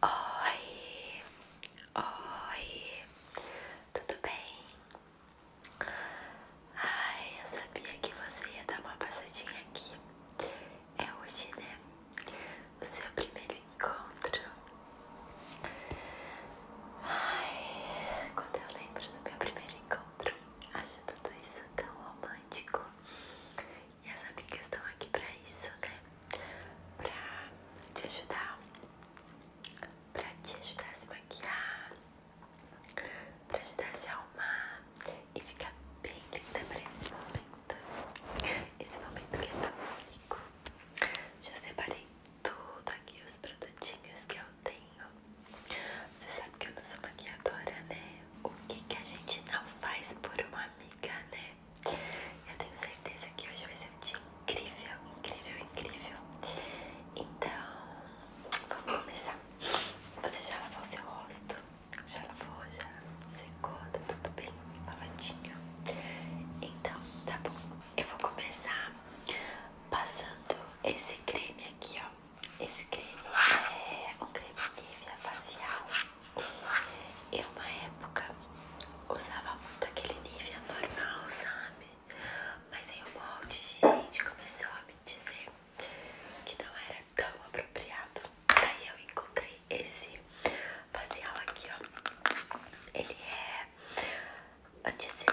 Oi, oi, tudo bem? Ai, eu sabia que você ia dar uma passadinha aqui. É hoje, né? O seu primeiro encontro. Ai, quando eu lembro do meu primeiro encontro, acho tudo isso tão romântico e as amigas estão aqui pra isso, né? Pra te ajudar, pra te ajudar a se maquiar, pra ajudar a se arrumar e ficar bem linda pra esse momento. Esse momento que é tão único. Já separei tudo aqui, os produtinhos que eu tenho. Você sabe que eu não sou maquiadora, né? O que, que a gente não faz por uma amiga, né? Eu tenho certeza que hoje vai ser um dia incrível, incrível, incrível. Então, vamos começar. Você já lavou o seu rosto? Já lavou, já secou, tá tudo bem lavadinho? Então, tá bom. Eu vou começar passando esse creme aqui, ó. Esse creme é um creme de facial eu na época usava muito aquele nível normal, sabe? Mas aí o molde gente começou a me dizer que não era tão apropriado. Daí eu encontrei esse facial aqui, ó. Ele é anti-sinais.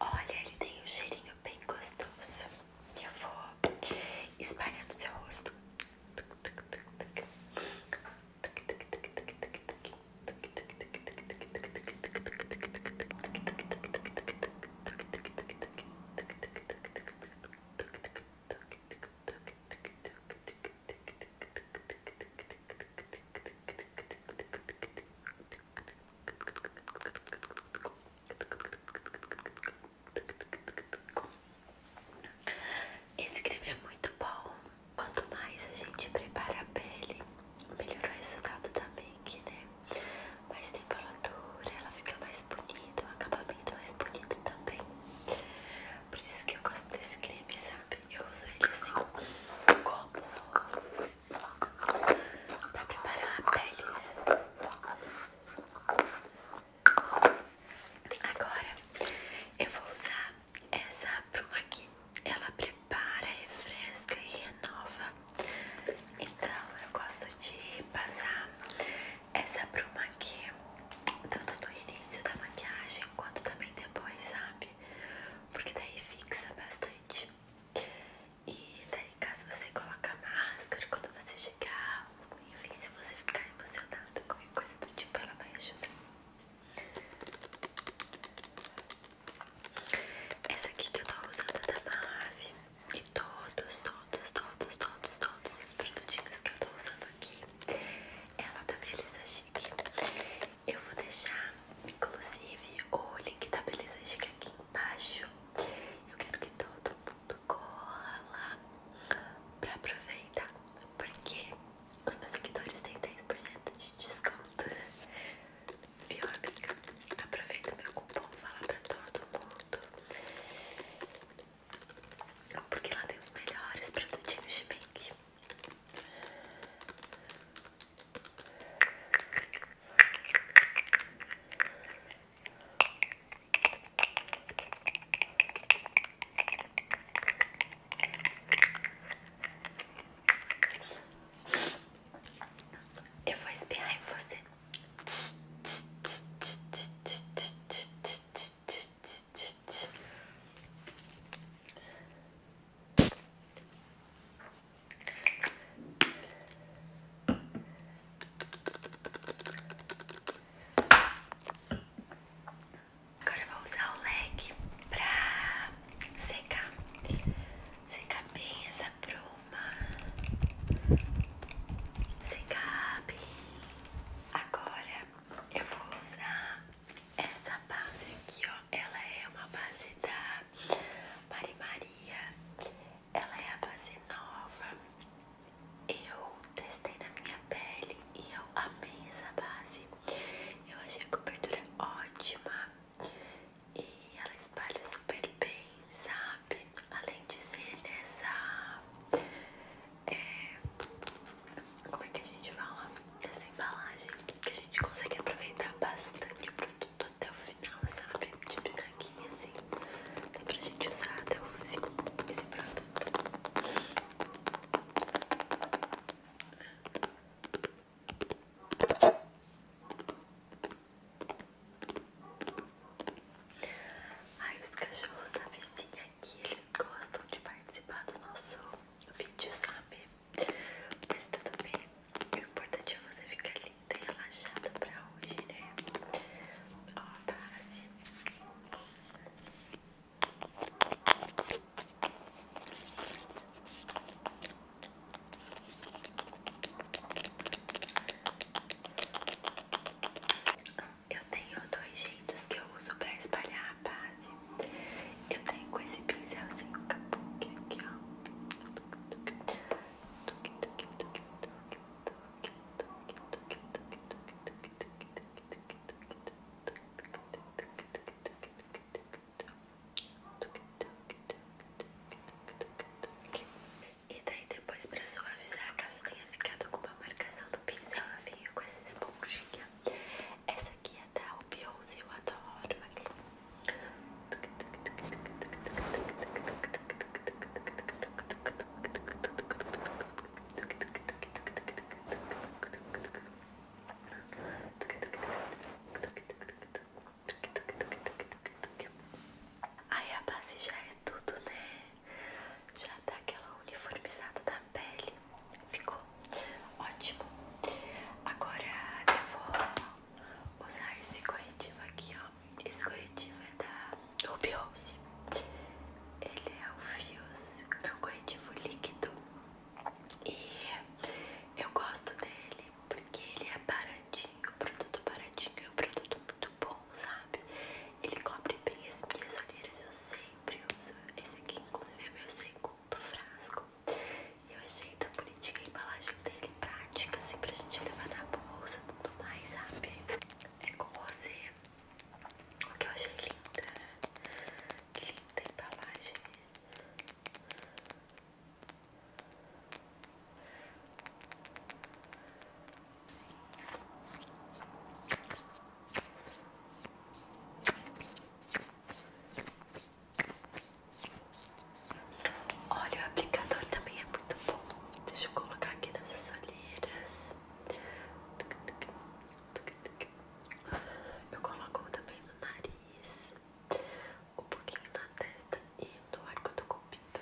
Olha, ele tem um cheirinho bem gostoso. Eu vou espalhar no seu rosto. Esse creme é muito bom. Quanto mais a gente prepara a pele, melhor o resultado da make, né? Mais temperatura, ela fica mais bonita, o acabamento é mais bonito também. Por isso que eu gosto desse creme, sabe? Eu uso ele assim, como pra preparar a pele. Agora eu vou usar essa bruma aqui. Ela prepara, refresca e renova. Então eu gosto de passar essa bruma aqui, tanto no início da maquiagem quanto também depois, sabe? porque daí fixa bastante. E daí, caso você colocar máscara quando você chegar, enfim, se você ficar emocionada, qualquer coisa do tipo, ela vai ajudar. Essa aqui que eu tô usando é da Mave e todos, todos, todos, todos, todos os produtinhos que eu tô usando aqui, ela é Beleza Chique. Eu vou deixar, inclusive, o link da Beleza Chique aqui embaixo. Eu quero que todo mundo corra lá pra aproveitar, porque os meus seguidores têm 10% de desconto. Viu, amiga? Aproveita meu cupom, fala pra todo mundo. Porque lá tem os melhores produtinhos de make. Eu vou espiar em você. Agora vou usar o leque pra secar. Secar bem essa bruma. Secar bem. Agora eu vou usar essa base aqui, ó, ela é uma base da Mari Maria. Ela é a base nova. Eu testei na minha pele e eu amei essa base. Eu achei a cobertura ótima e ela espalha super bem, sabe? Além de ser nessa é, como é que a gente fala dessa embalagem que a gente consegue aproveitar bastante o produto até o final, sabe? Tipo isso assim, dá pra gente usar até o final esse produto. Ai, os cachorros da vizinha aqui, eles gostam de participar do nosso vídeo, sabe? Mas tudo bem, o importante é você ficar linda e relaxada pra hoje, né? Ó, a base. Eu tenho dois jeitos que eu uso para espalhar a base. Eu tenho com esse pincelzinho kabuki aqui, ó. E daí depois pra suavizar, caso tenha ficado com uma marcação do pincel, eu venho com essa esponjinha essa aqui é da Opiose, eu adoro aqui. Aí a base já é tudo, né? Já dá aquela uniformizada da na pele. Ficou ótimo. Agora eu vou usar esse corretivo aqui, ó. Esse corretivo é da Ruby Rose. Ele é o Fios, é um corretivo líquido. E eu gosto dele porque ele é baratinho, produto baratinho, é um produto muito bom, sabe? Ele cobre bem as minhas olheiras, eu sei sempre Esse aqui, inclusive, é meu segundo frasco. E eu achei tão bonitinha a embalagem dele, prática, assim, pra gente levar na bolsa e tudo mais, sabe? É com você. O que eu achei linda. Que linda a embalagem. Olha, o aplicador também é muito bom. Deixa eu colocar aqui nessas olheiras. Eu coloco também no nariz, um pouquinho na testa e no arco do colpito.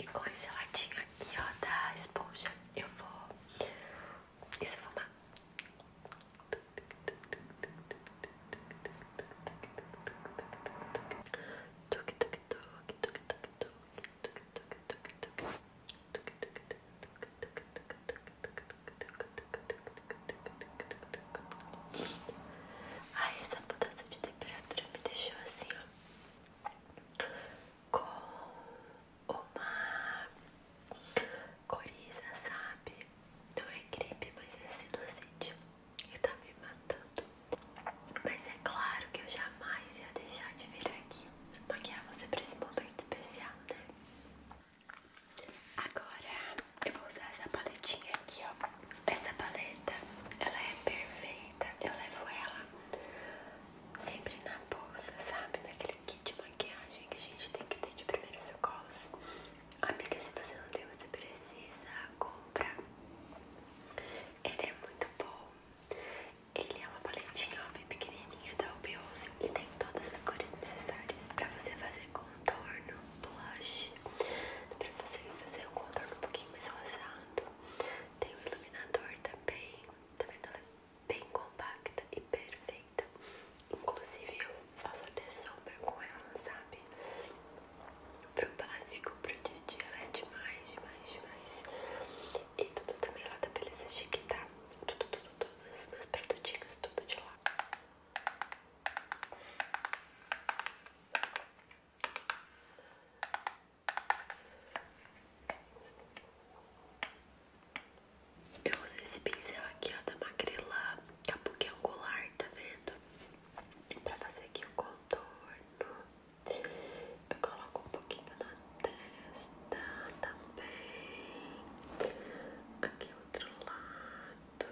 E com esse latinho aqui, ó, da esponja, eu vou esfumar. Tuk tuk tuk tuk tuk tuk Ai, essa mudança de temperatura me deixou assim, ó. Com uma coriza, sabe? Não é gripe, mas é sinusite e tá me matando. Mas é claro que eu jamais ia deixar de vir aqui maquiar você pra esse momento especial, né? Agora eu vou usar essa paletinha aqui, ó. Essa paleta, ela é perfeita. Eu levo ela sempre na bolsa, sabe? Naquele kit de maquiagem que a gente tem que ter de primeiro socorros. Amiga, se você não tem, você precisa comprar. Ele é muito bom. Ele é uma paletinha bem pequenininha da Obiose e tem todas as cores necessárias para você fazer contorno, blush, para você fazer um contorno um pouquinho mais rosado. Tem o iluminador também, tá vendo? Ela é bem compacta e perfeita. Inclusive eu faço até sombra com ela, sabe? pro básico, pro dia a dia, ela é demais, demais, demais. E tudo também lá da Beleza Chique, tá? Tudo, tudo, todos os meus produtinhos, tudo de lá. Eu usei esse pincel aqui, ó, da Magrela Capuque é Angular, tá vendo? Pra fazer aqui o contorno. Eu coloco um pouquinho na testa também. Tá Aqui outro lado.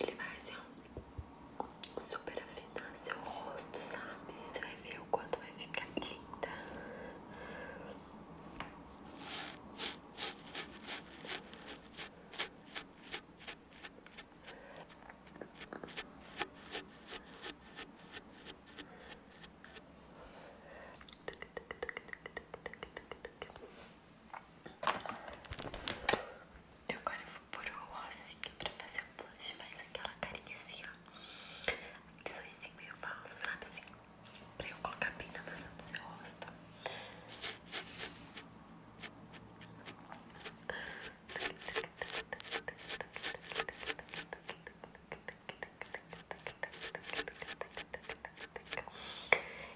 Ele vai assim, ó, super afinar seu rosto, sabe? Você vai ver o quanto vai ficar linda. Eu agora vou pôr o rostinho pra fazer a blush, faz aquela carinha assim, ó. Que sorrisinho meio falso, sabe assim? Pra eu colocar bem na maçã do seu rosto.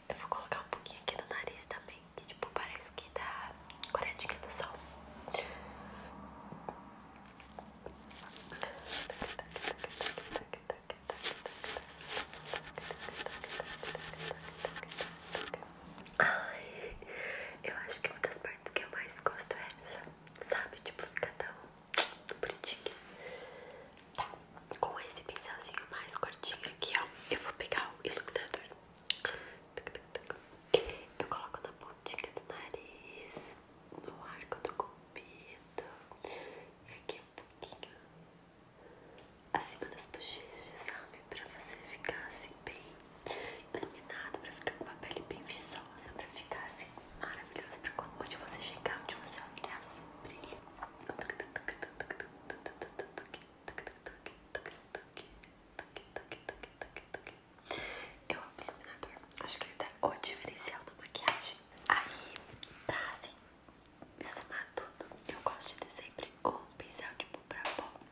Eu vou colocar um pouquinho aqui no nariz também, que tipo parece que dá coradinha do sol. Ai, eu acho que uma das partes que eu mais gosto é essa, sabe? Tipo, ficar tão bonitinho. Tá, com esse pincelzinho mais cortinho aqui, ó, eu vou pegar o iluminador. Eu coloco na pontinha do nariz, no arco do cupido, e aqui um pouquinho acima das bochechas, sabe? pra você ficar assim bem iluminada, pra ficar com uma pele bem viçosa, pra ficar assim maravilhosa, pra quando onde você chegar, onde você olhar, você brilha. Eu amo iluminador, acho que ele dá o diferencial da maquiagem. Aí, pra assim esfumar tudo, eu gosto de ter sempre um pincel tipo pra pó.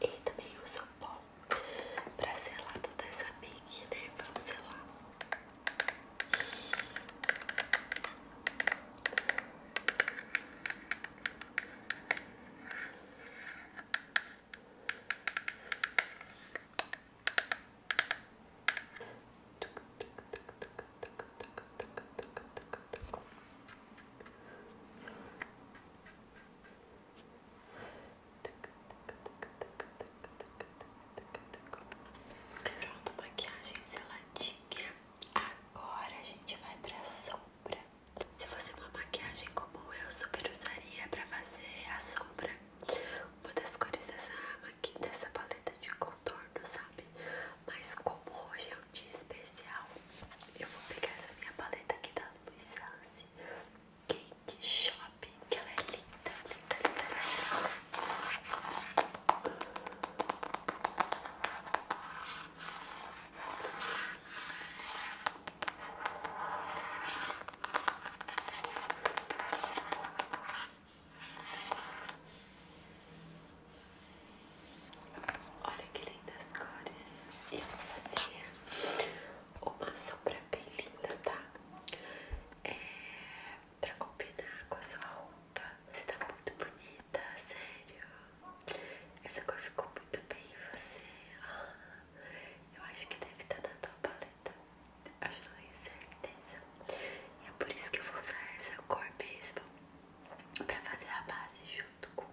E também uso o pó pra selar toda essa make, né? Vamos selar. Pronto, maquiagem seladinha. Agora a gente vai pra sombra. Se fosse uma maquiagem como eu, super usaria pra fazer a sombra. Uma das cores dessa, dessa paleta de contorno, sabe? Mas como hoje é um dia especial, eu vou pegar essa minha paleta aqui da Luiz Hansi Cake Shop, que ela é linda, linda, linda, linda. Olha que lindas cores. E você uma sombra bem linda, tá? É, pra combinar com a sua roupa. Você tá muito bonita, sério. Essa cor ficou muito bem em você. Ah, eu acho que deve estar tá na tua paleta. Acho que não tenho certeza. E é por isso que eu vou usar essa cor mesmo. Pra fazer a base junto com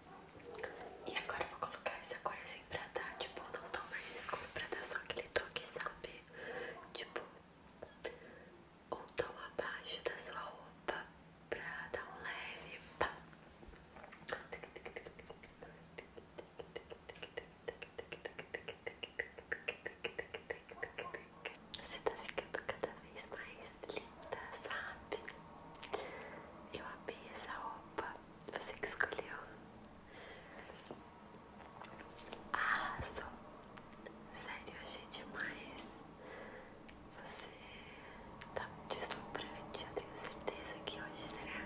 E agora eu vou colocar essa cor assim pra dar, tipo, não tão mais escuro, pra dar só aquele toque, sabe? Tipo, ou tom abaixo da sua roupa, pra dar um leve pá. Você tá ficando cada vez mais linda, sabe? Eu abri essa roupa. Você que escolheu. Arrasou. Sério, achei demais. Você tá deslumbrante. Eu tenho certeza que hoje será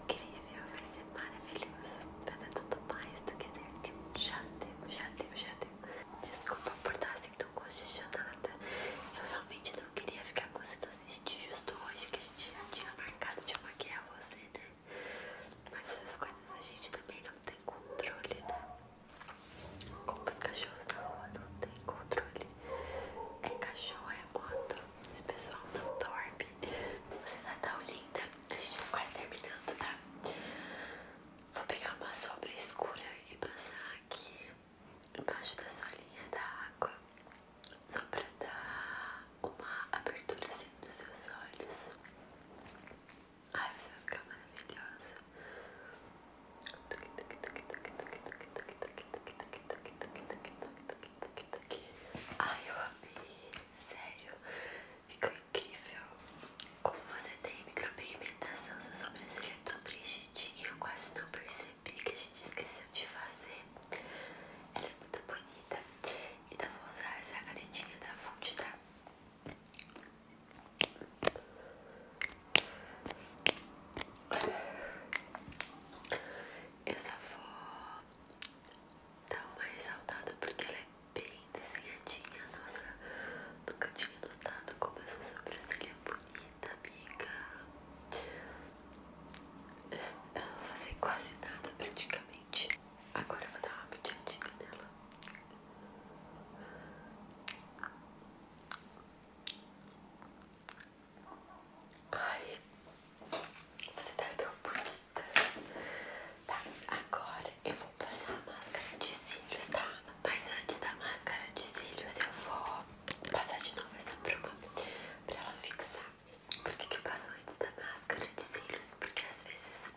incrível. Vai ser maravilhoso. Vai dar tudo mais do que certo. Já deu, já deu, já deu. Desculpa por estar assim tão congestionada. Eu realmente não queria ficar cozinhando assisti justo hoje, que a gente já tinha marcado de maquiar você, né? Mas essas coisas a gente também não tem controle, né? Como os cachorros na rua não tem controle. É cachorro, é moto. Esse pessoal não dorme. Você tá tão linda. A gente tá quase terminando, tá? Vou pegar uma sombra escura e passar aqui embaixo da sua linha da água só para dar uma abertura assim dos seus olhos. Ai, você vai ficar maravilhosa. Ai, eu amei. Sério, ficou incrível. Como você tem micropigmentação, sua sobrancelha é tão preenchidinha, eu quase não percebi que a gente esqueceu de fazer. Ela é muito bonita. Então vou usar essa canetinha da Fonte, tá? Eu só vou dar uma ressaltada porque ela é bem desenhadinha. Nossa, no cantinho do dado, como essa sobrancelha é bonita vida, amiga. Eu não vou fazer quase nada praticamente. Agora eu vou dar uma de nela. Ai, você tá tão bonita. Tá, agora eu vou passar a máscara de cílios, tá? Mas antes da máscara de cílios, eu vou Vou passar de novo essa bruma pra ela fixar. Por que, eu passo antes da máscara de cílios? Porque às vezes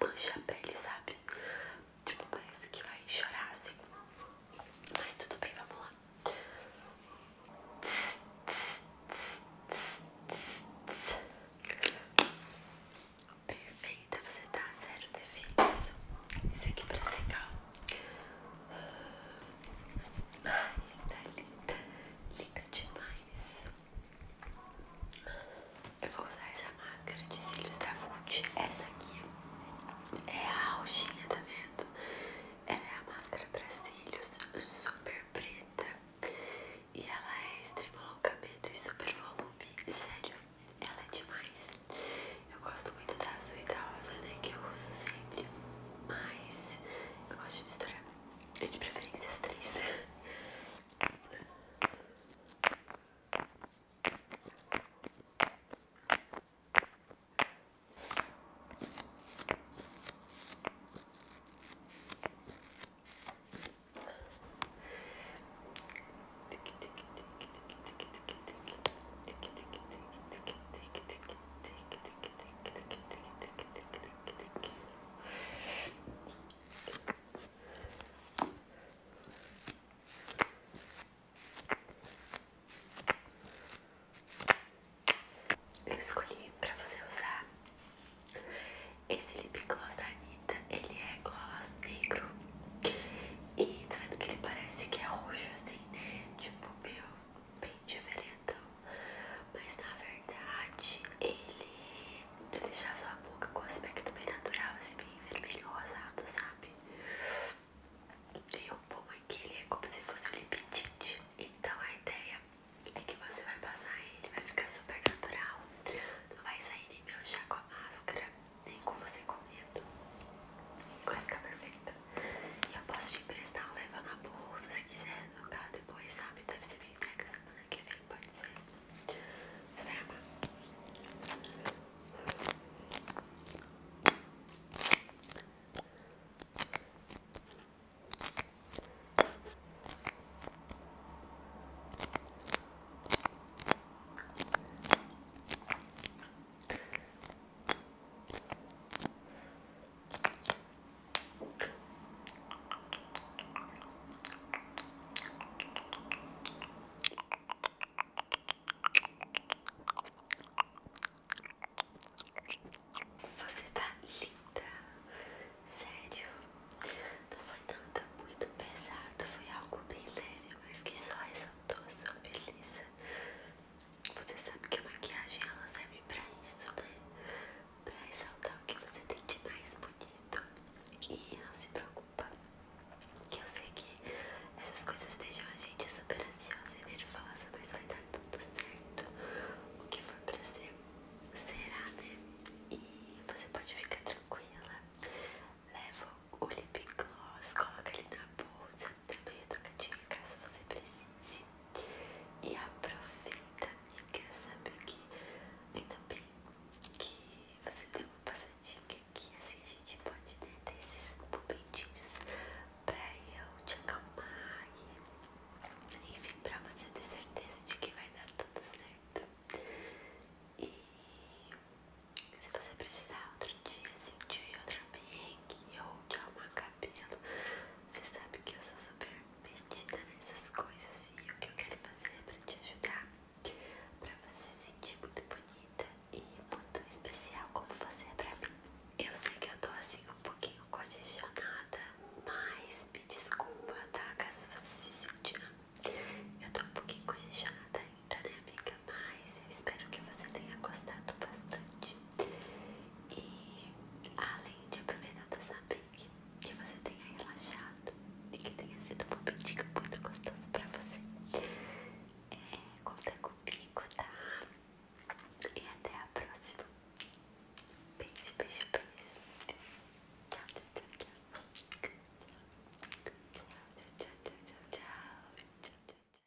mancha a pele, sabe? Tipo, parece que vai chorar assim. Mas tudo bem, vamos lá. Perfeita, você tá zero defeitos. Isso aqui pra secar Ai, tá linda, tá tá linda demais. Eu vou usar essa máscara de cílios da Vult. Essa aqui é a Alchinha, tá vendo? Ela é a máscara para cílios super preta. E ela é extremo alongamento e super volume. Sério, ela é demais. Eu gosto muito da azul e da rosa, né? Que eu uso sempre. Mas eu gosto de misturar. de preferência as três. Eu escolhi pra você usar esse lip gloss da Anitta. Ele é gloss negro. E tá vendo que ele parece que é roxo assim, né? Tipo, meu bem diferentão. Mas na verdade, ele vai deixar sua boca com aspecto bem natural, assim, bem vermelho rosado, sabe? E o bom é que ele é como se fosse um lip Então a ideia é que você vai passar ele, vai ficar super natural. Não vai sair nem meu chá com a máscara, nem com você comendo. Vai ficar perfeito eu posso te emprestar leva na bolsa se quiser no carro depois, sabe? Deve ser bem entrega semana que vem, pode ser. Você vai amar. Você tá linda, sério. Não foi nada muito pesado, foi algo bem leve, mas que só ressaltou sua beleza. Você sabe que a maquiagem ela serve pra isso, né? Pra ressaltar o que você tem de mais bonito. E não se preocupa. Que eu sei que essas coisas deixam a gente super ansiosa e nervosa, mas vai dar tudo certo. O que for pra ser, será, né? E você pode ficar tranquila. Leva o lip gloss, coloca ele na bolsa, também eu com a educativa caso você precise. E aproveita, amiga, sabe que ainda bem que você deu uma passadinha aqui, assim a gente pode né, ter esses momentinhos pra eu te acalmar e enfim, pra você ter certeza de que vai dar tudo certo. E se você precisar outro dia, assim, tio de outro make ou de uma cabelo. Você sabe que eu sou super metida nessas coisas e o que eu quero fazer é pra te ajudar, pra você se sentir muito bonita e muito especial como você é pra mim. Eu sei que eu tô assim um pouquinho congestionada, mas me desculpa, tá? Caso você se sentir. Eu tô um pouquinho congestionada ainda, né, amiga? nada mais. Eu espero que você tenha gostado bastante. E além de aproveitar dessa pique, que você tenha relaxado e que tenha sido um momentinho muito gostoso pra você. É, conta comigo, tá? E até a próxima. Beijo, beijo, beijo. tchau, tchau, tchau, tchau, tchau. tchau, tchau.